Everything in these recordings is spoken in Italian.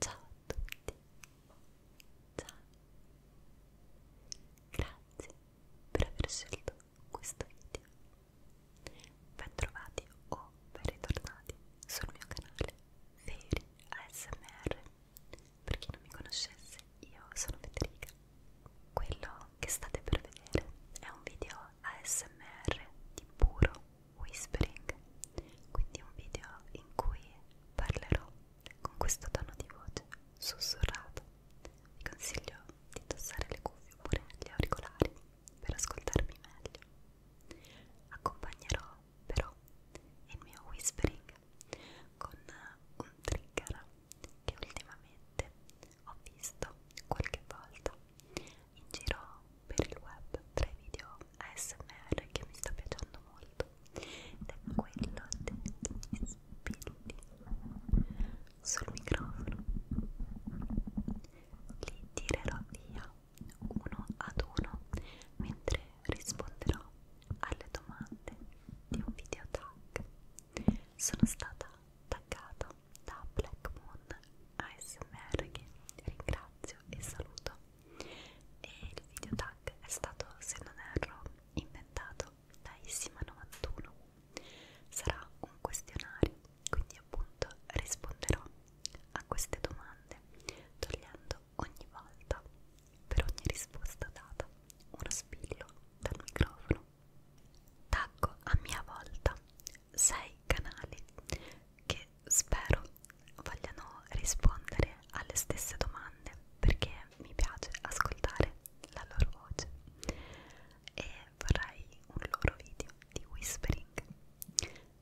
Ciao a tutti, ciao, grazie per aver scelto questo video, ben trovati o ben ritornati sul mio canale Veri ASMR, per chi non mi conoscesse io sono Federica, quello che state per vedere è un video ASMR di puro whispering, quindi un video in cui parlerò con questo tono di voce sussurrato. Vi consiglio di indossare le cuffie oppure gli auricolari per ascoltarmi meglio. Accompagnerò però il mio whispering con un trigger che ultimamente ho visto qualche volta in giro per il web tre video ASMR che mi sta piacendo molto ed è quello degli spilli sul microfono li tirerò via uno ad uno mentre risponderò alle domande di un video tag sono stata taggata da Black Moon ASMR che ringrazio e saluto e il video tag è stato, se non erro, inventato da Issima91 sarà un questionario, quindi appunto risponderò a queste domande togliendo ogni volta per ogni risposta data uno spillo dal microfono tacco a mia volta 6 canali che spero vogliano rispondere alle stesse domande perché mi piace ascoltare la loro voce e vorrei un loro video di whispering.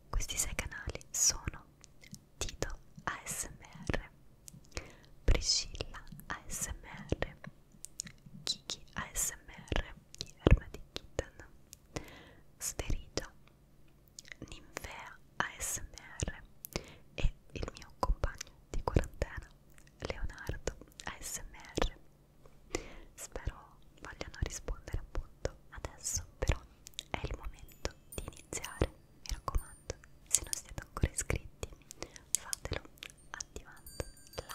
Questi sei canali sono Tito ASMR, Priscilla ASMR, Kiki ASMR di Erma di Kitten, Sterigia Ninfea ASMR e il mio compagno di quarantena Leonardo ASMR. Spero vogliano rispondere appunto adesso, però è il momento di iniziare. Mi raccomando, se non siete ancora iscritti, fatelo attivando la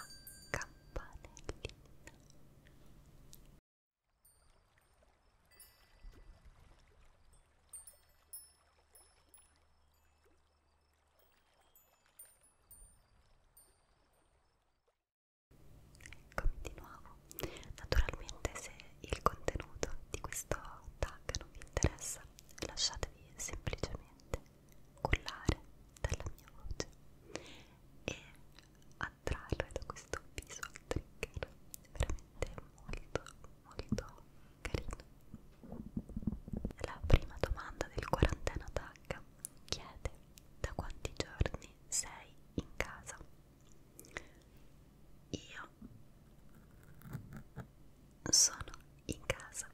campanellina. Eccomi di nuovo. Naturalmente se il contenuto di questo tag non vi interessa, lasciatevi semplicemente cullare dalla mia voce e a attrarre da questo visual trigger veramente molto molto carino la prima domanda del quarantena tag chiede da quanti giorni sei in casa io sono in casa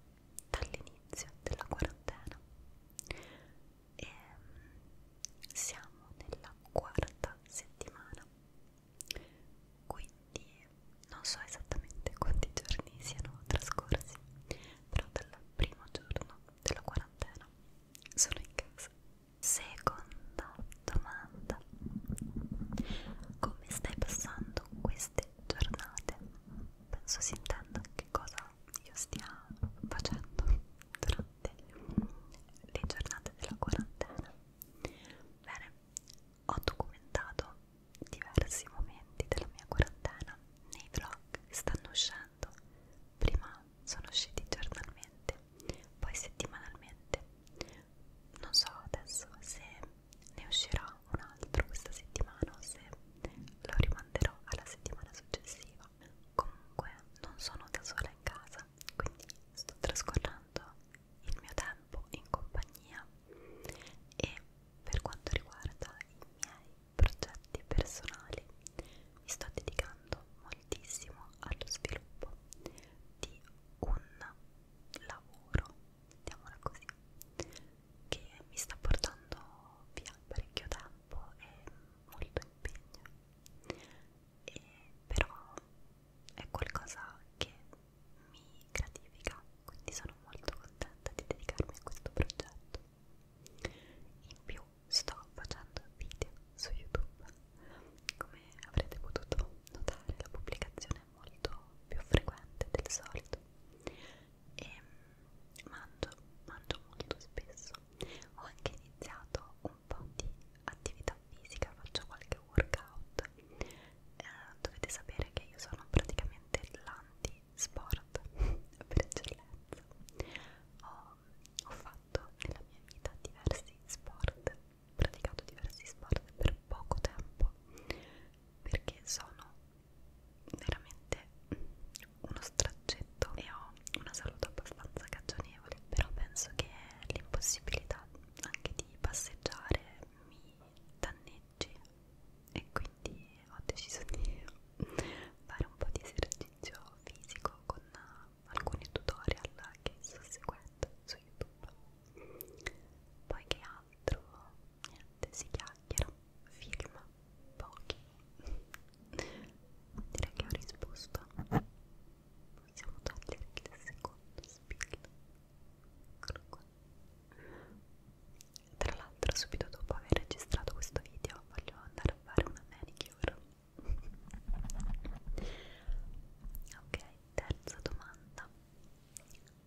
dall'inizio della quarantena e ehm, siamo nella quarta settimana quindi non so esattamente quanti giorni siano trascorsi però dal primo giorno della quarantena sono in casa seconda domanda come stai passando queste giornate penso si intenda che cosa io stia facendo durante notte le giornate della quarantena. Bene, ho documentato diversi momenti della mia quarantena nei vlog che stanno uscendo. Prima sono usciti giornalmente, poi settimanalmente. Non so adesso se ne uscirà un altro questa settimana o se lo rimanderò alla settimana successiva. Comunque non sono da sola in casa casa, quindi sto trascorrendo il mio tempo in compagnia e per quanto riguarda i miei progetti personali mi sto dedicando moltissimo allo sviluppo di un lavoro, mettiamola così, che mi sta portando via parecchio tempo e molto impegno e però è qualcosa che mi gratifica, quindi sono molto contenta di dedicarmi a questo progetto. In più sto facendo video su YouTube, come avrete potuto notare la pubblicazione è molto più frequente del solito e mangio, mangio molto spesso ho anche iniziato un po' di attività fisica, faccio qualche workout. Eh, dovete sapere che io sono praticamente l'anti-sport per eccellenza. Ho, ho fatto nella mia vita diversi sport, praticato diversi sport per poco tempo perché sono veramente uno straccetto e ho una salute abbastanza cagionevole però penso che l'impossibilità anche di passeggiare mi danneggi e quindi ho deciso di fare un po' di esercizio fisico con alcuni tutorial che sto seguendo su youtube poi che altro niente si chiacchiera film pochi Direi che ho risposto. Possiamo togliere il secondo spill. Eccolo qua. Tra l'altro, subito dopo aver registrato questo video, voglio andare a fare una manicure. ok, terza domanda.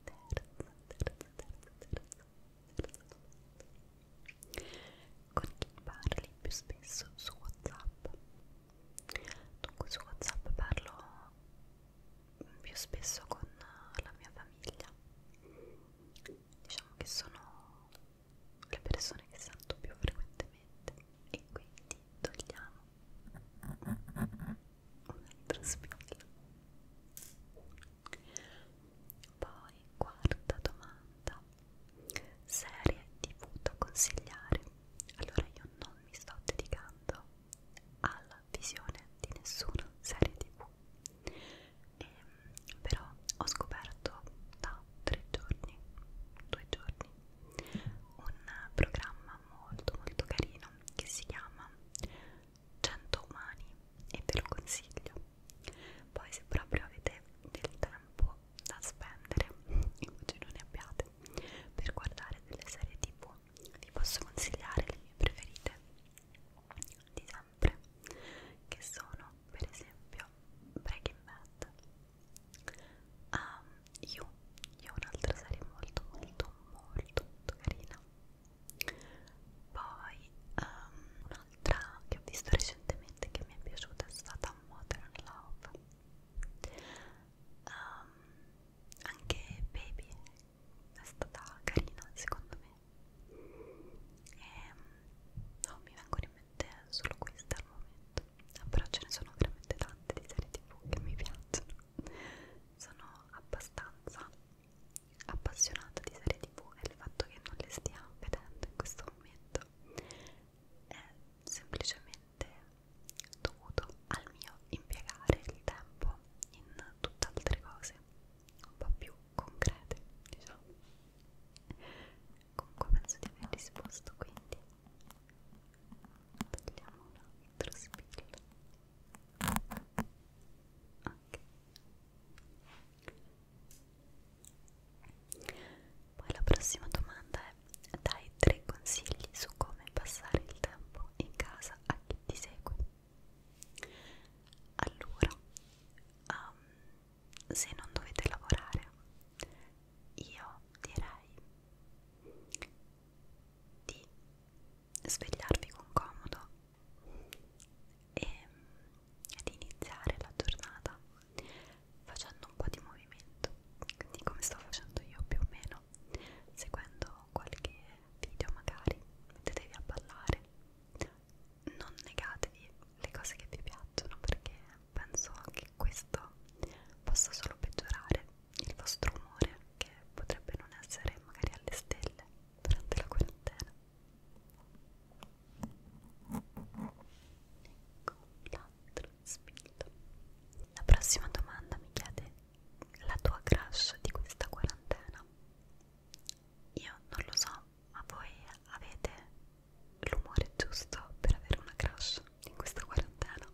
Terza, terza, terza, terza, terza domanda con chi parli più spesso su Whatsapp. Dunque su Whatsapp parlo più spesso con la mia famiglia. Diciamo che sono le persone che sento più frequentemente e quindi togliamo un altro spillo. Poi quarta domanda serie tv da consigliare allora io non mi sto dedicando alla visione di nessuna serie tv e, ehm, però ho scoperto da tre giorni due giorni un programma molto molto carino che si chiama 100 umani e ve lo consiglio poi se proprio avete del tempo tempo da spendere in cui non ne abbiate per guardare delle serie tv vi posso consigliare le mie preferite di sempre che sono per esempio Breaking Bad um, You io ho un'altra serie molto molto molto molto carina poi um, una un'altra che ho visto recentemente che mi è piaciuta è stata Modern Love um, anche Baby è stata carina secondo me e ehm, non mi vengono in mente solo queste al momento eh, però ce ne sono veramente tante di serie tv che mi piacciono sono abbastanza appassionata di serie tv e il fatto che non le stia vedendo in questo momento è semplicemente dovuto al mio impiegare il tempo in tutt'altre cose un po' più concrete diciamo comunque penso di aver risposto quindi togliamo un altro spillo ok poi la prossima domanda è: dai tre consigli su come passare il tempo in casa a chi ti segue. Allora, um, se non dovete lavorare, io direi di svegliarvi con comodo e ad iniziare la giornata facendo un po' di movimento, quindi come sto facendo io più o meno, seguendo qualche video magari, mettetevi a ballare, non negatevi le cose che vi piacciono perché penso che questo possa solo peggiorare il vostro umore che potrebbe non essere magari alle stelle durante la quarantena. Ecco l'altro spillo. La prossima domanda mi chiede la tua crush di questa quarantena. Io non lo so, ma voi avete l'umore giusto per avere una crush in questa quarantena?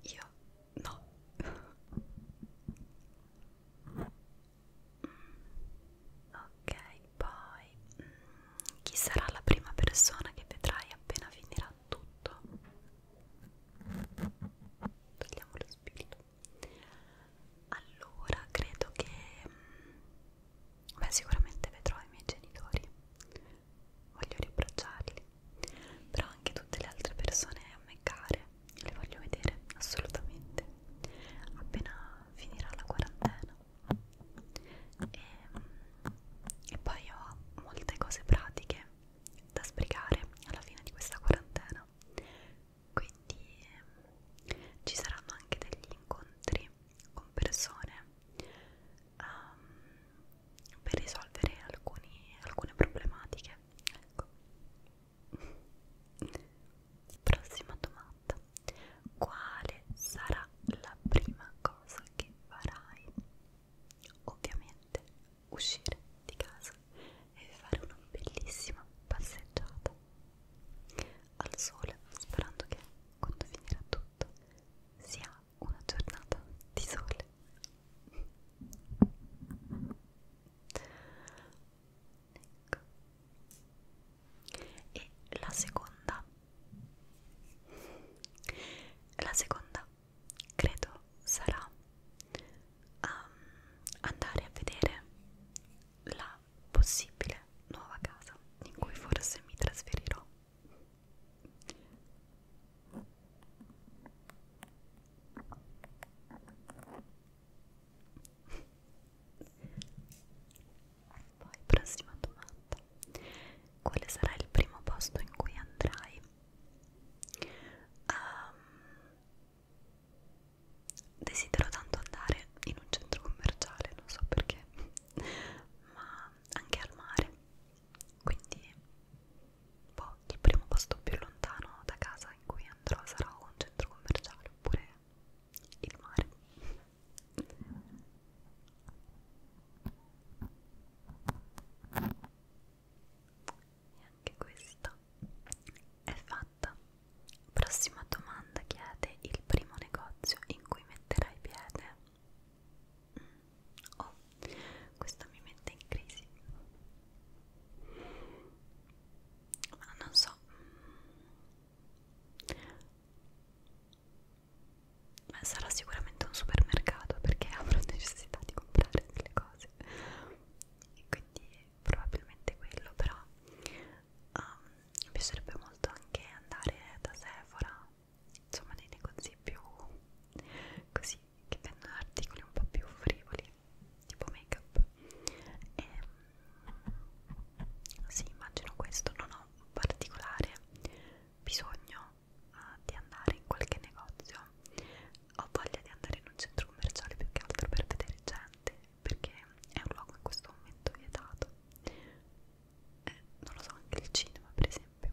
Io no. Mm, ok, poi mh, mm, chi sarà la prima persona che vedrai appena finirà tutto? Togliamo lo spillo. Allora, credo che mh, mm, beh, sicuramente vedrò i miei genitori. Voglio riabbracciarli, però anche tutte le altre persone a me care le voglio vedere assolutamente appena finirà la quarantena e, mm, e poi ho molte cose pratiche da sbrigare alla fine di questa quarantena quindi eh, ci saranno anche degli incontri con persone um, per risolvere alcuni, alcune problematiche ecco prossima domanda quale sarà la prima cosa che farai? Ovviamente uscire di casa e fare una bellissima passeggiata al sole, sperando che quando finirà tutto sia una giornata di sole ecco. e la seconda la seconda credo sarà um, andare a vedere la possibile nuova casa in cui forse mi trasferirò poi, prossima domanda. Quale sarà il primo posto in cui andrai? Um, desidero tanto andare in un centro commerciale, non so perché, ma anche al mare. Quindi, boh, il primo posto più lontano da casa in cui andrò sarà un centro commerciale oppure il mare e anche questo è fatto prossima domanda chiede il primo negozio in cui metterai piede mm. oh questo mi mette in crisi ma non so mm. Beh, sarà sicuramente un supermercato perché avrò necessità di comprare delle cose e quindi probabilmente quello però um, mi piacerebbe molto anche andare da Sephora insomma nei negozi più così che vendono articoli un po' più frivoli tipo make up e ehm, sì, immagino questo, non ho particolare bisogno uh, di andare in qualche negozio, ho voglia di andare in un centro commerciale più che altro per vedere gente, perché è un luogo in questo momento vietato. Eh, non lo so, anche il cinema per esempio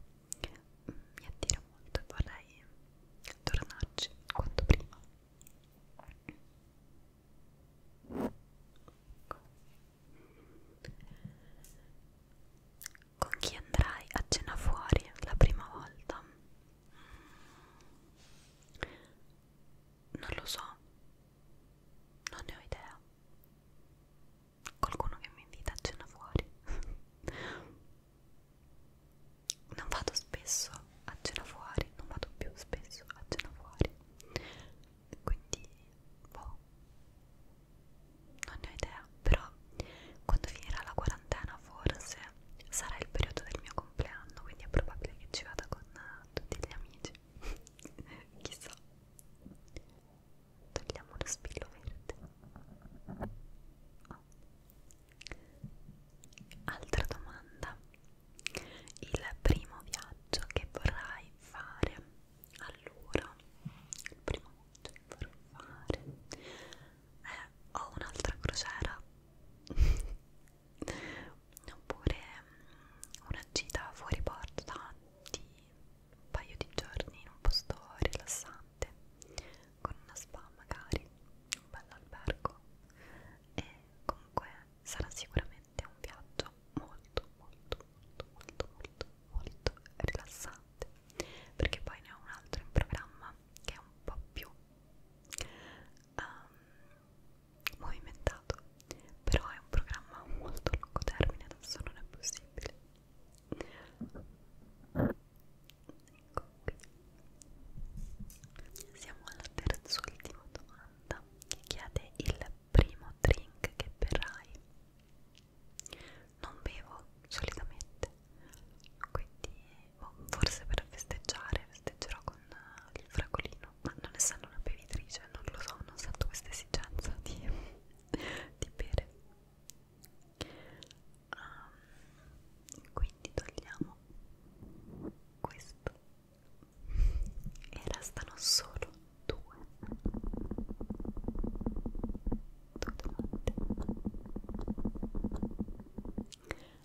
mi attira molto e vorrei tornarci quanto prima. Con chi andrai a cena fuori la prima volta? Mm. Non lo so, non ne ho idea. Qualcuno che mi invita a cena fuori. non vado spesso a cena fuori, non vado più spesso a cena fuori quindi boh non ne ho idea però quando finirà la quarantena forse sarà il periodo del mio compleanno quindi è probabile che ci vada con eh, tutti gli amici chissà togliamo lo spillo verde oh. altra domanda il primo viaggio che vorrai fare allora il primo viaggio che vorrei fare eh, ho un'altra crociera oppure mm, una gita fuori porta di un paio di giorni in un posto rilassante con una spa magari un bel albergo e comunque sarà sicuramente veramente un viaggio molto molto molto molto molto molto rilassante perché poi ne ho un altro in programma che è un po' più um, movimentato però è un programma a molto lungo termine adesso non è possibile ecco qui siamo alla terz'ultima domanda domanda che chiede il primo drink che berrai. Non bevo solitamente, quindi boh, forse per festeggiare festeggerò con il fragolino, ma non essendo una bevitrice non lo so, non sento questa esigenza di, di bere. Um, quindi togliamo questo e restano solo due tutte quante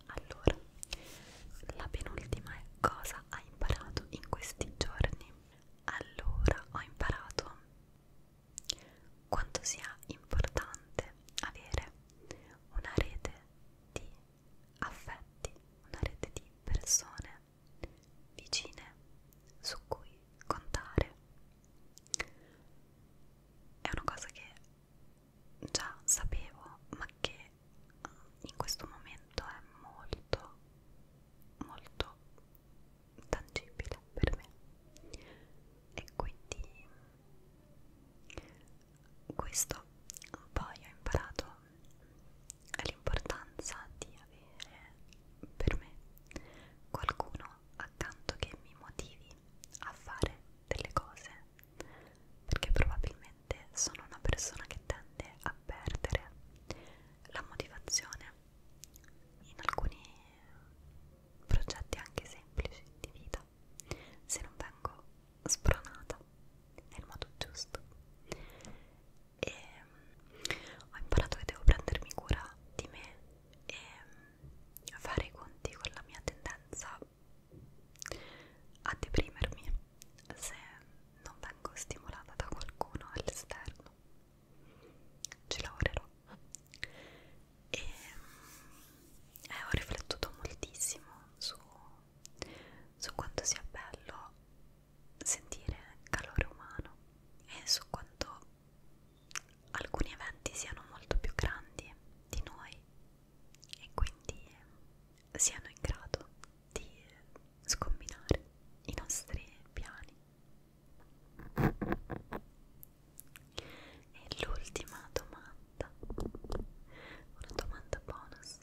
allora la penultima è cosa hai imparato in questi giorni allora ho imparato quanto sia importante avere una rete di affetti, una rete di persone vicine su cui contare. È una cosa che già sapevo, ma che eh, in questo momento è molto, molto tangibile per me. E quindi questo poi ho imparato è l'importanza di avere per me qualcuno accanto che mi motivi a fare delle cose perché probabilmente sono una persona che tende a perdere la motivazione in alcuni progetti anche semplici di vita se non vengo spronata nel modo giusto e ho imparato che devo prendermi cura di me e fare i conti con la mia tendenza a deprimermi se non vengo stimolata da qualcuno all'esterno ci lavorerò e eh, ho riflettuto moltissimo su su quanto sia bello sentire calore umano e su quanto alcuni eventi siano molto più grandi di noi e quindi siano in grado di scombinare i nostri piani. E l'ultima domanda, una domanda bonus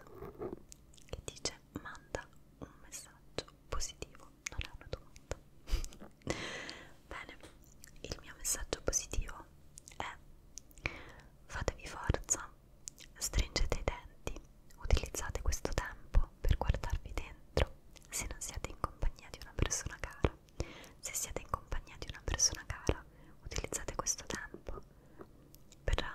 che dice manda un messaggio positivo, non è una domanda. Bene, il mio messaggio positivo è fatevi forza, stringete i denti, utilizzate questo tempo per guardarvi dentro se non siete in compagnia di una persona cara. Se siete in compagnia di una persona cara, utilizzate questo tempo per eh,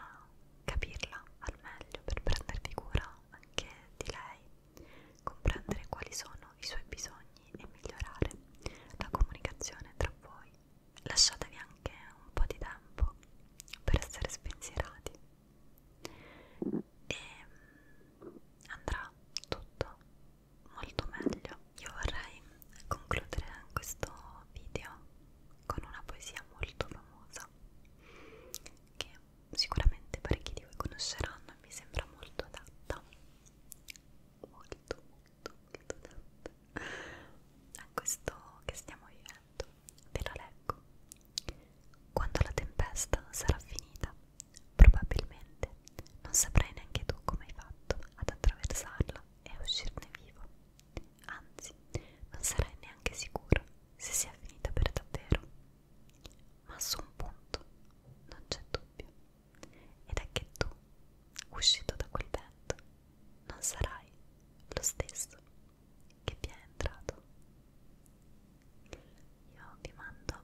capirla al meglio, per prendervi cura anche di lei, comprendere quali sono i suoi bisogni e migliorare la comunicazione tra voi. Lasciatevi anche un po' di tempo per essere spensierati e mm, andrà tutto molto meglio. Io vorrei concludere questo video con una poesia molto famosa che sicuramente parecchi di voi conosceranno e mi sembra molto adatta molto molto molto adatta a questo che stiamo vivendo ve la leggo quando la tempesta sarà finita probabilmente non saprai neanche tu come hai fatto ad attraversarla e a uscirne vivo Anzi, non sarai neanche sicuro se sia finita per davvero. Ma su un punto non c'è dubbio. Ed è che tu, uscito da quel vento, non sarai lo stesso che vi è entrato. Io vi mando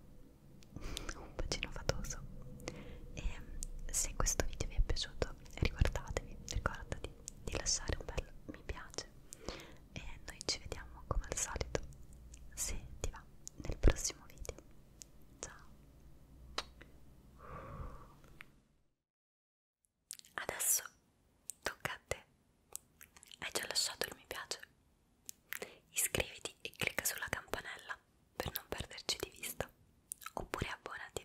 un bacino fatoso e se questo video vi è piaciuto riguardatevi, ricordati di lasciare un bel mi piace e noi ci vediamo come al solito se ti va nel prossimo video ciao adesso tocca a te hai già lasciato il mi piace iscriviti e clicca sulla campanella per non perderci di vista oppure abbonati